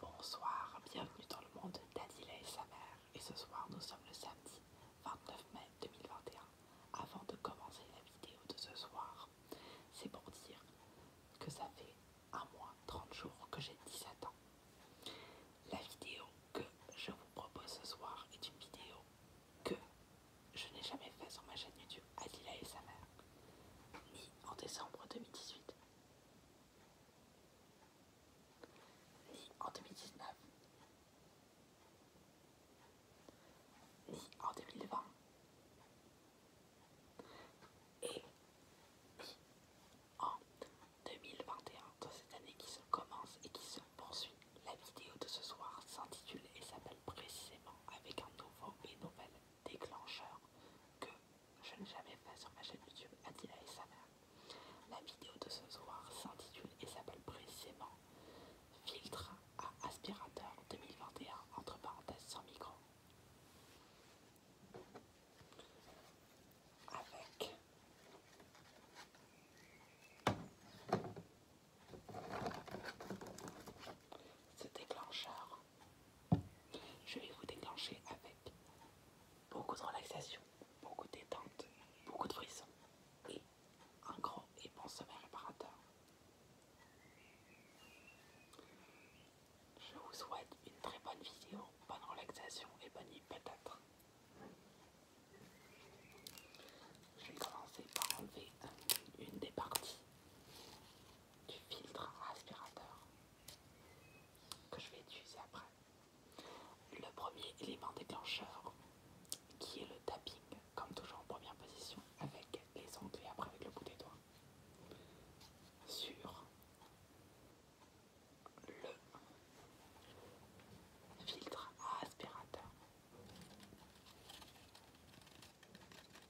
Bonsoir, bienvenue dans le monde d'Adila et sa mère. Et ce soir, nous sommes le samedi 29 mai 2021. Avant de commencer la vidéo de ce soir, c'est pour dire que ça fait un mois, 30 jours que j'ai 17 ans. La vidéo que je vous propose ce soir est une vidéo que je n'ai jamais faite sur ma chaîne YouTube Adila et sa mère, ni en décembre 2018, ni en 2019, ni en 2020, et ni en 2021 dans cette année qui se commence et qui se poursuit. La vidéo de ce soir s'intitule et s'appelle précisément avec un nouveau et nouvel déclencheur que je n'ai jamais fait sur ma chaîne YouTube, Adila et sa mère. La vidéo de ce soir s'intitule et s'appelle précisément Filtre à aspirateur 2021 entre parenthèses sans micro. Avec ce déclencheur je vais vous déclencher avec beaucoup de relaxation, beaucoup de détente, beaucoup de frissons et un grand et bon sommeil réparateur. Je vous souhaite une très bonne vidéo, bonne relaxation et bonne nuit peut-être. Je vais commencer par enlever une des parties du filtre aspirateur que je vais utiliser après. Le premier élément déclencheur qui est le tapping, comme toujours en première position, avec les ongles et après avec le bout des doigts, sur le filtre à aspirateur.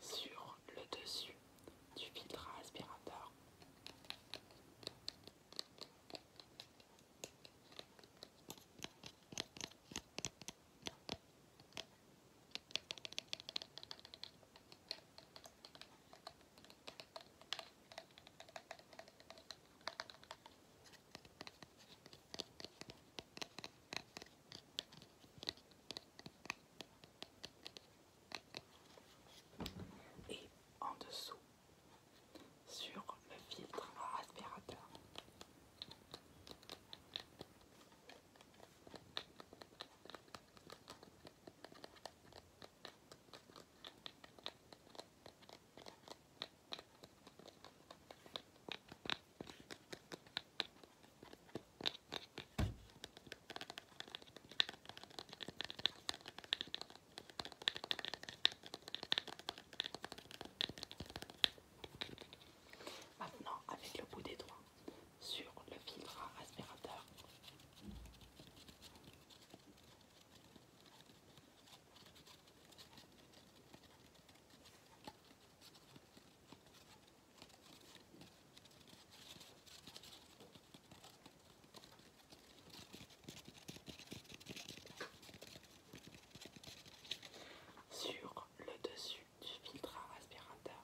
sur le dessus du filtre aspirateur et en dessous sur le filtre aspirateur. Maintenant, avec le bout des doigts sur le filtre aspirateur sur le dessus du filtre à aspirateur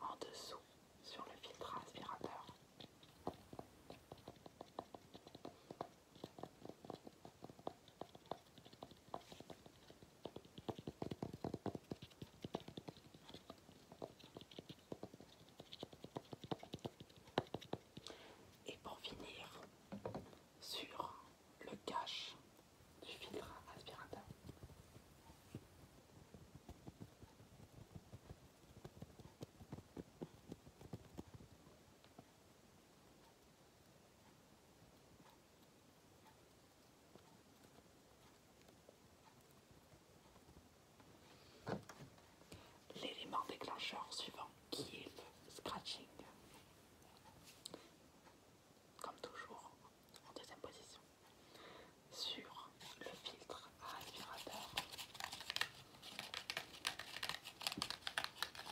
en dessous sur le filtre aspirateur. Et pour finir sur le cache du filtre aspirateur. L'élément déclencheur suivant qui est le scratching. Comme toujours, en deuxième position. Sur le filtre aspirateur.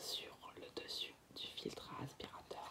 sur le dessus du filtre aspirateur.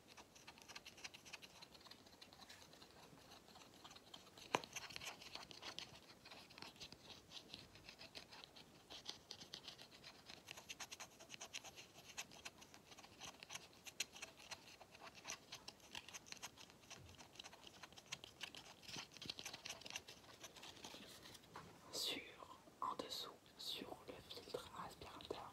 sur en dessous sur le filtre aspirateur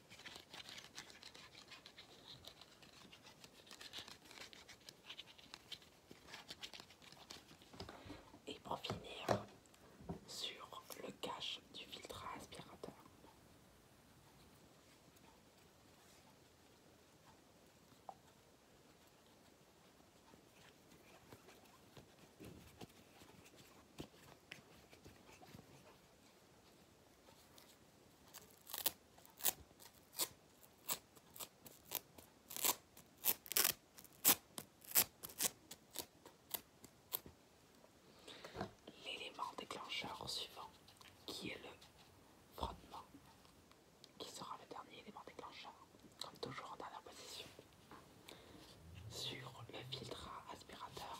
Et pour finir, sur le cache du filtre aspirateur. L'élément déclencheur suivant, qui est le frottement, qui sera le dernier élément déclencheur, comme toujours en dernière position, sur le filtre aspirateur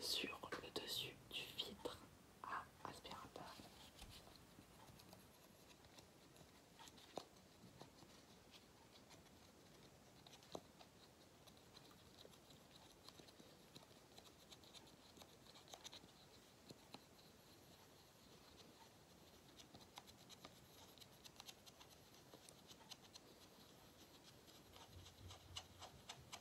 Sur le dessus du filtre, à ah, aspirateur.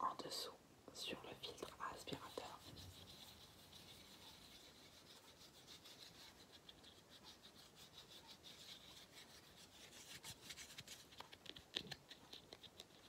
En dessous, sur le filtre aspirateur.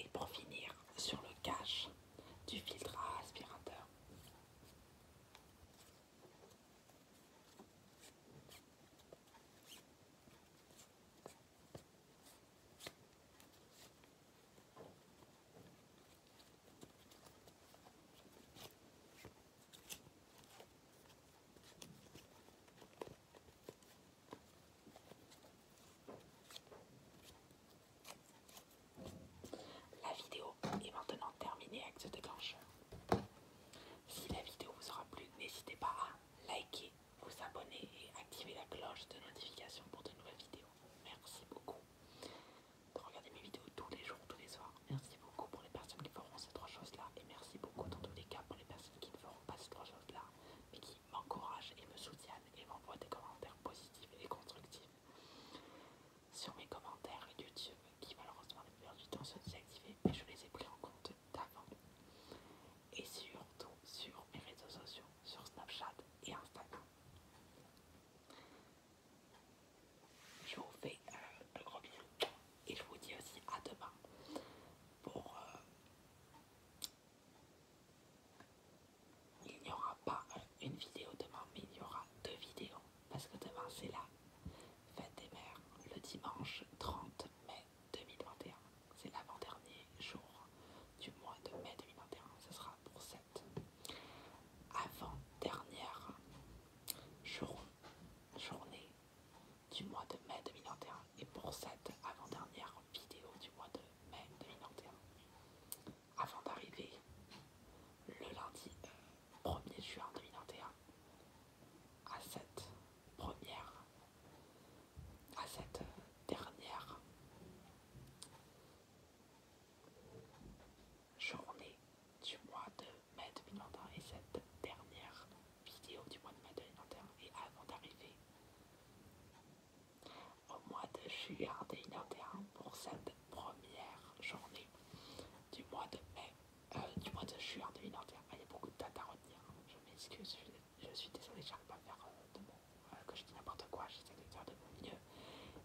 Et pour finir sur le cache, du filtre aspirateur. La vidéo est maintenant terminée avec ce déclencheur. Si la vidéo vous aura plu, n'hésitez pas à liker, vous abonner et activer la cloche de notification pour de nouvelles vidéos. Merci beaucoup de regarder mes vidéos tous les jours, tous les soirs. Merci beaucoup pour les personnes qui feront ces trois choses-là. Et merci beaucoup dans tous les cas pour les personnes qui ne feront pas ces trois choses-là, mais qui m'encouragent et me soutiennent et m'envoie des commentaires positifs et constructifs sur mes commentaires YouTube qui malheureusement les du temps sont désactivés mais je les ai pris en compte d'avant et surtout sur mes réseaux sociaux sur Snapchat et Instagram je vous fais un euh, gros bisou et je vous dis aussi à demain pour euh, il n'y aura pas une vidéo demain, mais il y aura deux vidéos. Parce que demain, c'est la fête des mères, le dimanche 30 mai 2021. C'est l'avant-dernier jour du mois de mai 2021. Ce sera pour cette avant-dernière journée du mois de mai 2021. Et pour cette avant-dernière vidéo du mois de mai Avant d'arriver le lundi 1er euh, juin 2021 à cette première, à cette euh, dernière journée du mois de mai 2021 et cette dernière vidéo du mois de mai 2021 et avant d'arriver au mois de juillet 2021 pour cette première journée du mois de mai, euh, du mois de juin 2021. Ah, il y a beaucoup de dates à retenir, hein. je m'excuse, je, je, suis désolée, j'arrive pas à faire euh, de mon, euh, que je dis n'importe quoi, j'essaie de faire de mon mieux.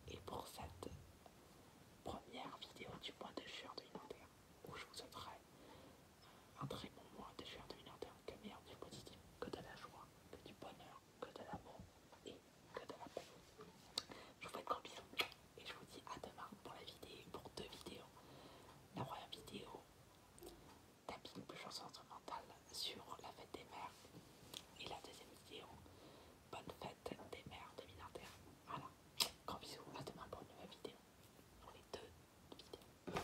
Et pour cette première vidéo du mois de juin 2021, où je vous souhaiterai un très bon mois de juin 2021, que meilleur du positif, que de la joie, que du bonheur, que de l'amour et que de la paix. Je vous fais de gros bisous et je vous dis à demain pour la vidéo, pour deux vidéos. La première vidéo, tapis plus chanson instrumentale sur la fête des mères. Et la deuxième vidéo, bonne fête des mères 2021. Voilà, Grand bisous, à demain pour une nouvelle vidéo. Pour les deux vidéos.